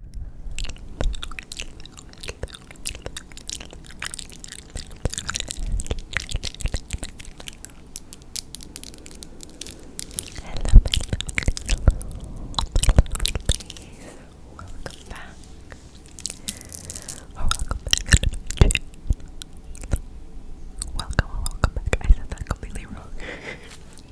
hello, please. Welcome back. Or welcome back. Welcome, welcome back. I said that completely wrong.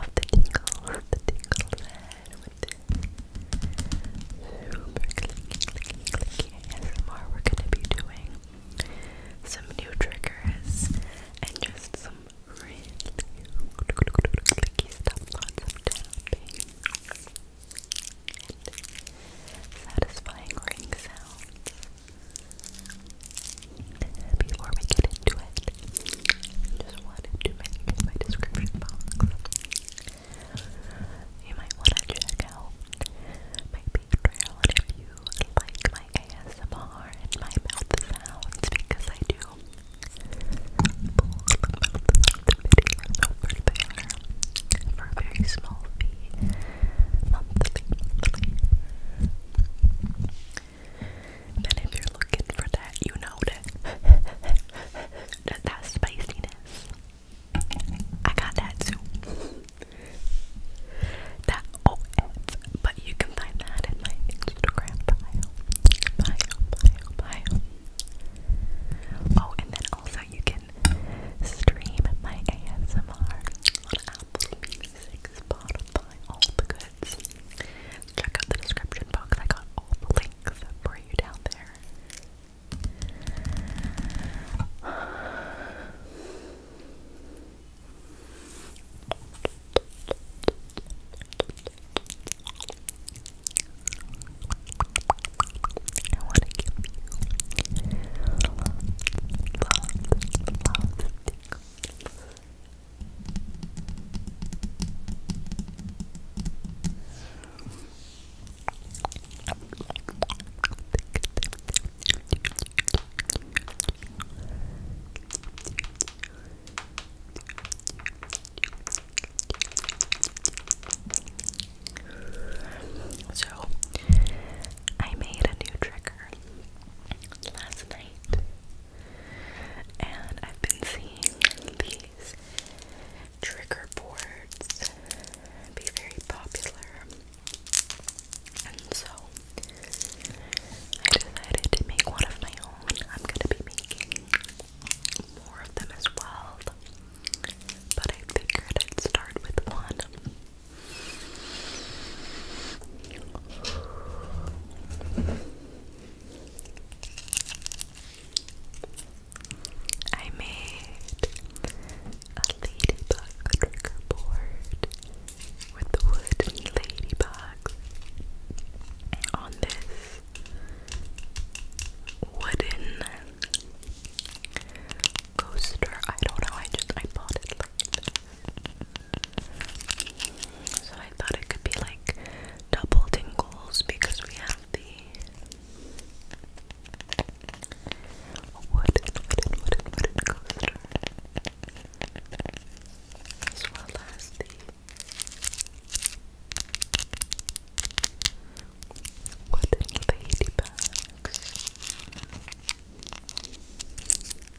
of the tingles, of the tingles and with this super clicky, clicky, clicky ASMR we're gonna be doing some new triggers and just some really clicky stuff, lots of tapping and satisfying ring sounds before we get into it, just wanted to mention my description box. You might want to check out my Patreon if you like my ASMR and my mouth sounds because I do pull mouth videos over there for a very small fee and if you're looking for that, you know that, that, spiciness. I got that too. That OF, oh, but you can find that in my Instagram Bio, bio, bio. Oh, and then also you can stream my ASMR on Apple Music, Spotify, all the goods check out the description box. I got all the links for you down there. So, I made a new trigger last night and I've been seeing these trigger boards be very popular, and so I decided to make one of my own. I'm gonna be making more of them as well, but I figured I'd start with one. I made a ladybug trigger with the wooden ladybug on this wooden coaster. I don't know, I just I bought it like so I thought it could be like double tingles because we have the wooden, wooden, wooden, wooden coaster as well as the wooden lady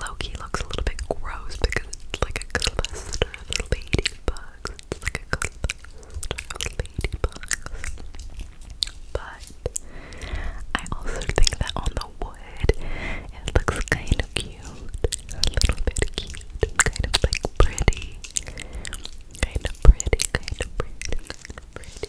Loki looks a little bit gross because it's like a cluster of ladybugs. It's like a cluster of ladybugs. But I also think that on the wood it looks kind of cute cute, a little bit cute, kind of like pretty, kind of pretty, kind of pretty, pretty.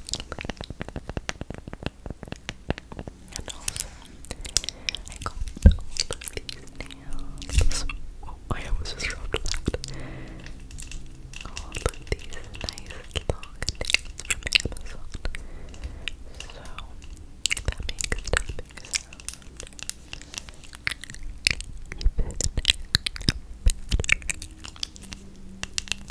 And also, oh, I almost just rubbed that. All these nice long nails from Amazon. So, that makes tapping sound so excited to be together.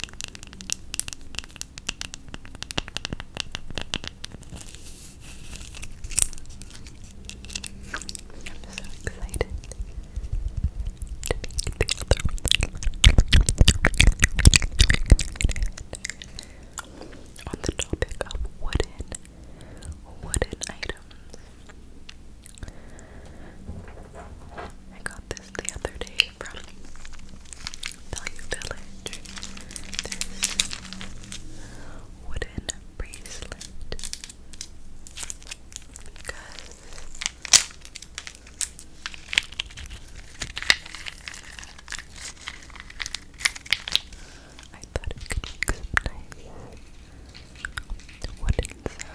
On the topic of wooden, wooden items. I got this the other day from Value Village. This wooden bracelet. Because I thought it could make some nice wooden sounds.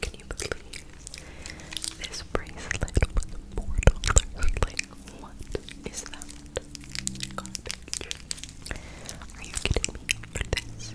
Can you believe this bracelet was four what is that? Are you kidding me for this?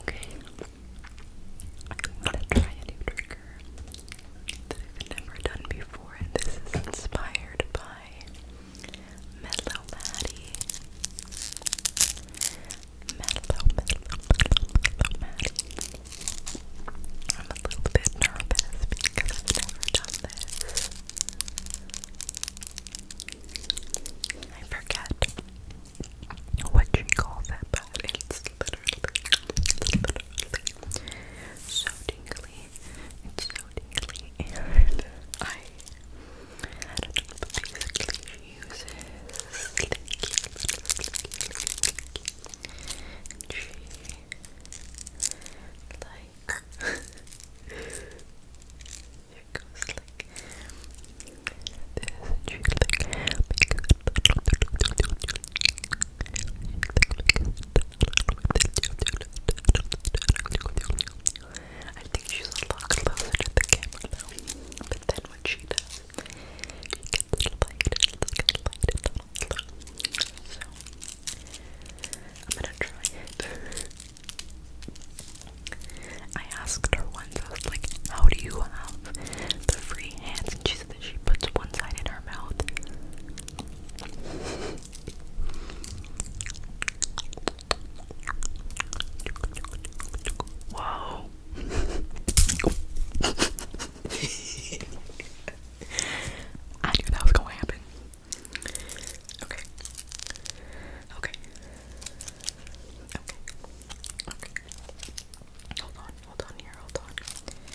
Okay. I'm to try a new trigger that I've never done before, and this is inspired by Mellow Maddie. Mellow, Mellow, Mellow Maddie. I'm a little bit nervous because I've never done this. I forget what she calls it, but it's literally, literally so tingly it's so tingly, I, basically uses slinky, she, like, it goes like this, and she like, I think she's a the camera but then when she does, So, I'm gonna try it. I asked her once, I was like, how do you have the free hands? And she said that she puts one side in her mouth. Wow. I knew that was gonna happen. Okay. Okay. Okay. Okay. Hold on, hold on here, hold on.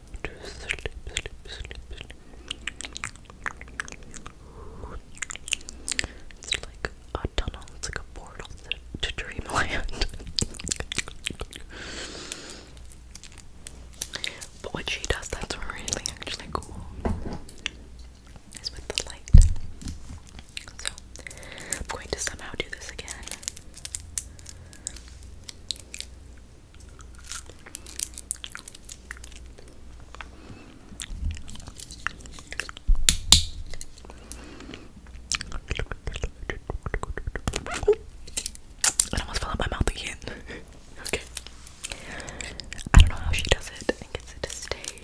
It's like a tunnel, it's like a portal to, dreamland. but what she does that's really actually cool is with the light. So I'm going to somehow do this again. It almost fell out my mouth again. okay. I don't know how she does it and gets it to stay.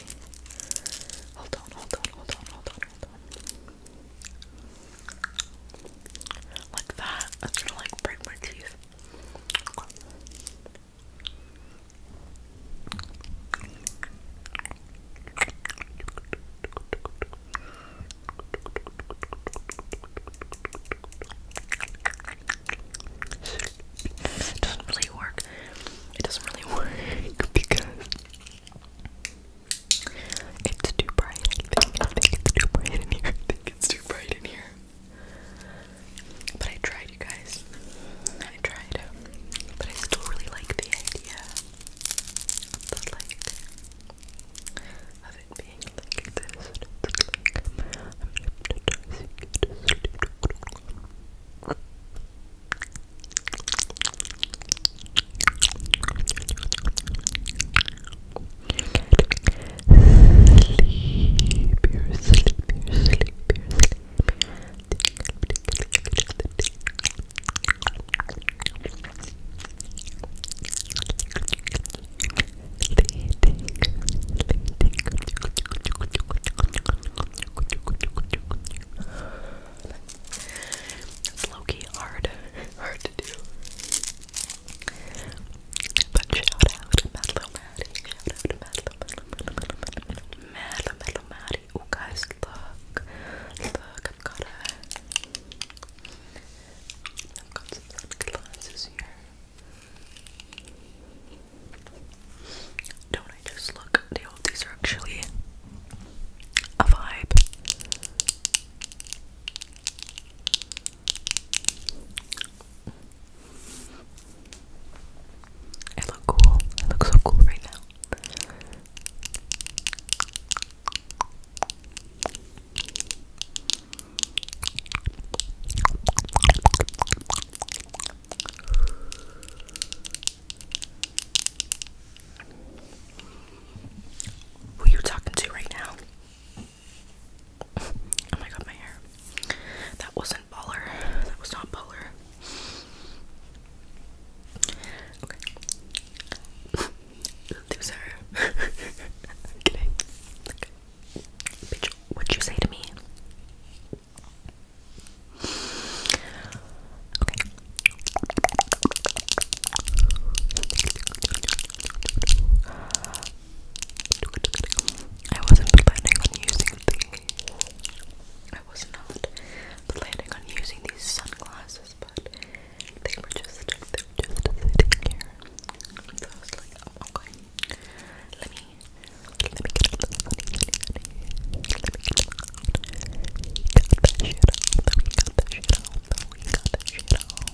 Hold on, hold on, hold on, hold on, hold on. Like that. That's gonna like break my teeth. It doesn't really work. It doesn't really work because it's too bright. I think, I think it's too bright in here. I think it's too bright in here. But I tried, you guys. I tried. But I still really like the idea. of it being like this. Sleep, you're sleep, It's low hard, hard to do. But you out to Madlo Maddie. Shout out to Madlo Madlo Madlo Madlo Maddie. Oh guys, look. Look, I've got a I've got some Don't I just look? these are actually a vibe. I look cool. I look so cool right now. Who you talking to right now? Oh my god, my hair. That wasn't baller. That was not baller. Okay. Loser. Okay. Bitch, what you say to me? Okay. I wasn't planning on using the I was not planning on using these sunglasses, but they were just they were just sitting here. So I was like, oh, okay. Let me let me get up. Let me get up. Let me get up. Got that shit out. We got that shit out. We got that shit out.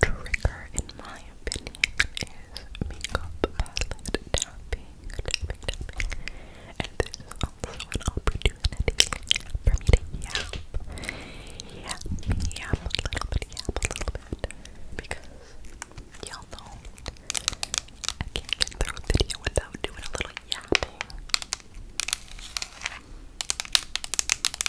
trigger, in my opinion, is makeup palette tapping, tapping, tapping. And this is also an opportunity for me to yap, yap, yap a little bit, yap a little bit, because y'all know I can't get a video without doing a little yapping.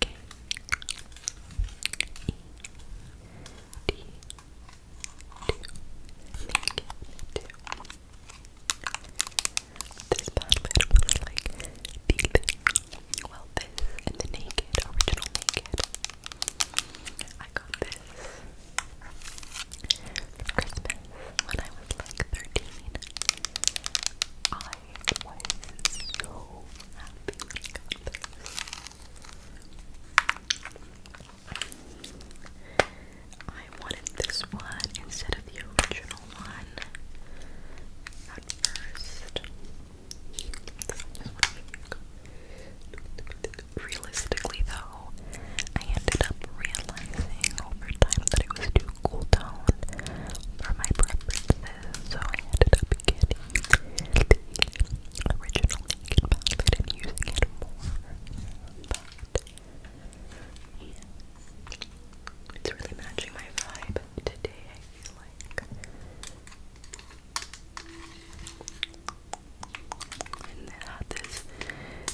K E D two. This bad was like the thing. Well, this and the naked, original naked. I got this for Christmas when I was like 13. I wanted this one instead of the original one at first. Realistically, though, I ended up realizing over time that it was too cool toned for my preferences so I ended up getting the original naked palette and using it more. But It's really matching my vibe today, I feel like. And then had this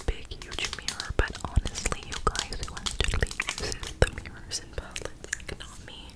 big, huge mirror, but honestly, you guys who actually uses the mirrors and palettes, like not me,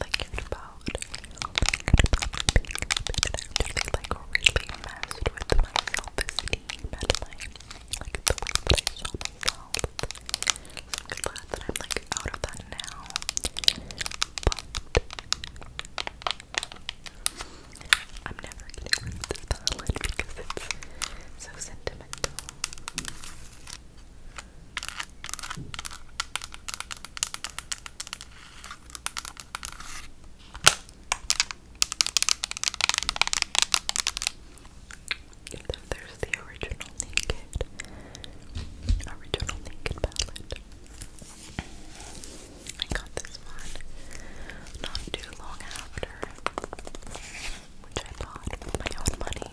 I cared about. All I cared about am like really messed with my self-esteem and like, the way that I saw myself. I'm glad that I'm like out of that now. I'm never getting rid of this palette because it's so sentimental. And then there's the original naked, original naked palette. I got this one not too long after, which I bought with my own money.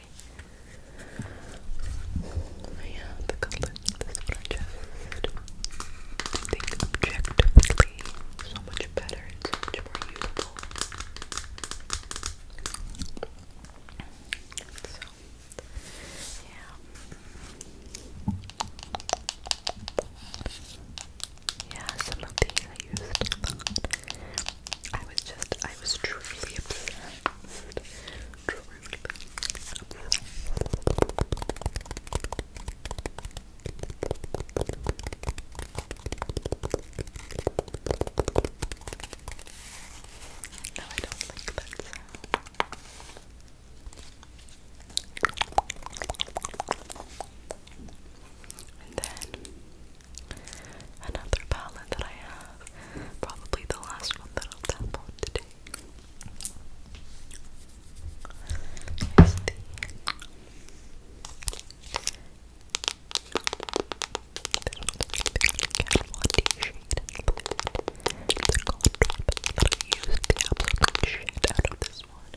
quickly. I oh, the color of this project. I so much better, it's so much more usable. So, yeah. Yeah, some of these I was just, I was truly obsessed. No, I don't like that And then Another palette that I have, probably the last one that I'll tap on today, is the the gold that I used the absolute shit out of this one.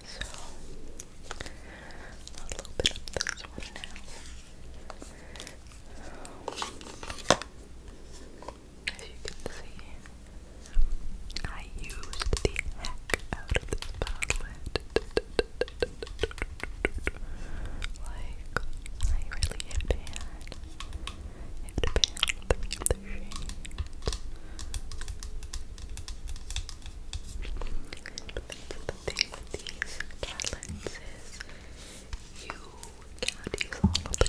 So As you can see, I used the heck out of this palette. Like, I really hit pan. Hit pan with three of the shades the thing with these catalysts is you can all of the colors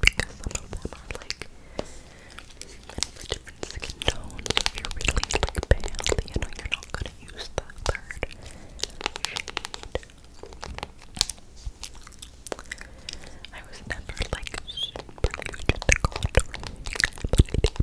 because some of them are like skin tones. if you really like pale, you you're not gonna use the third shade. I was never like super into contouring, but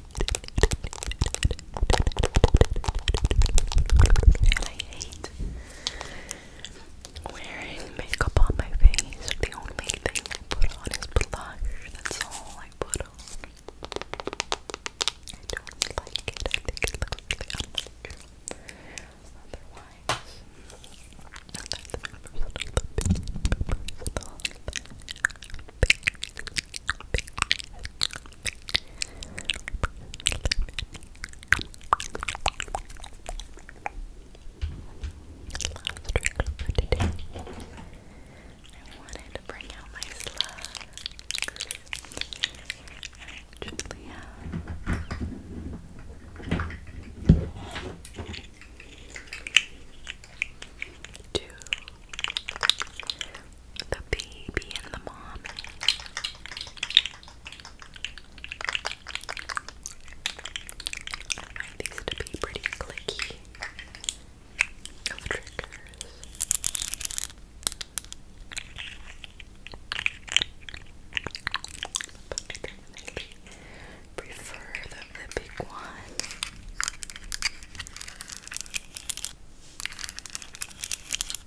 And I hate wearing makeup on my face. The only thing I put on is blush. That's all I put on. I don't like it. I think it looks really unnatural. Otherwise, for today. I wanted to bring out my slugs. I actually have two the baby and the mom. I find to be pretty clicky of triggers. But I definitely prefer the big one.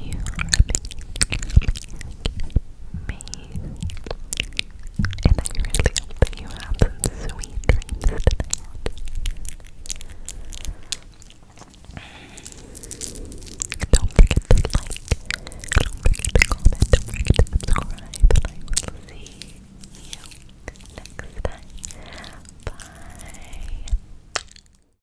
You make me. And I really hope you have some sweet dreams tonight. Don't forget to like, don't forget to comment, don't forget to subscribe, and I will see you next time. Bye.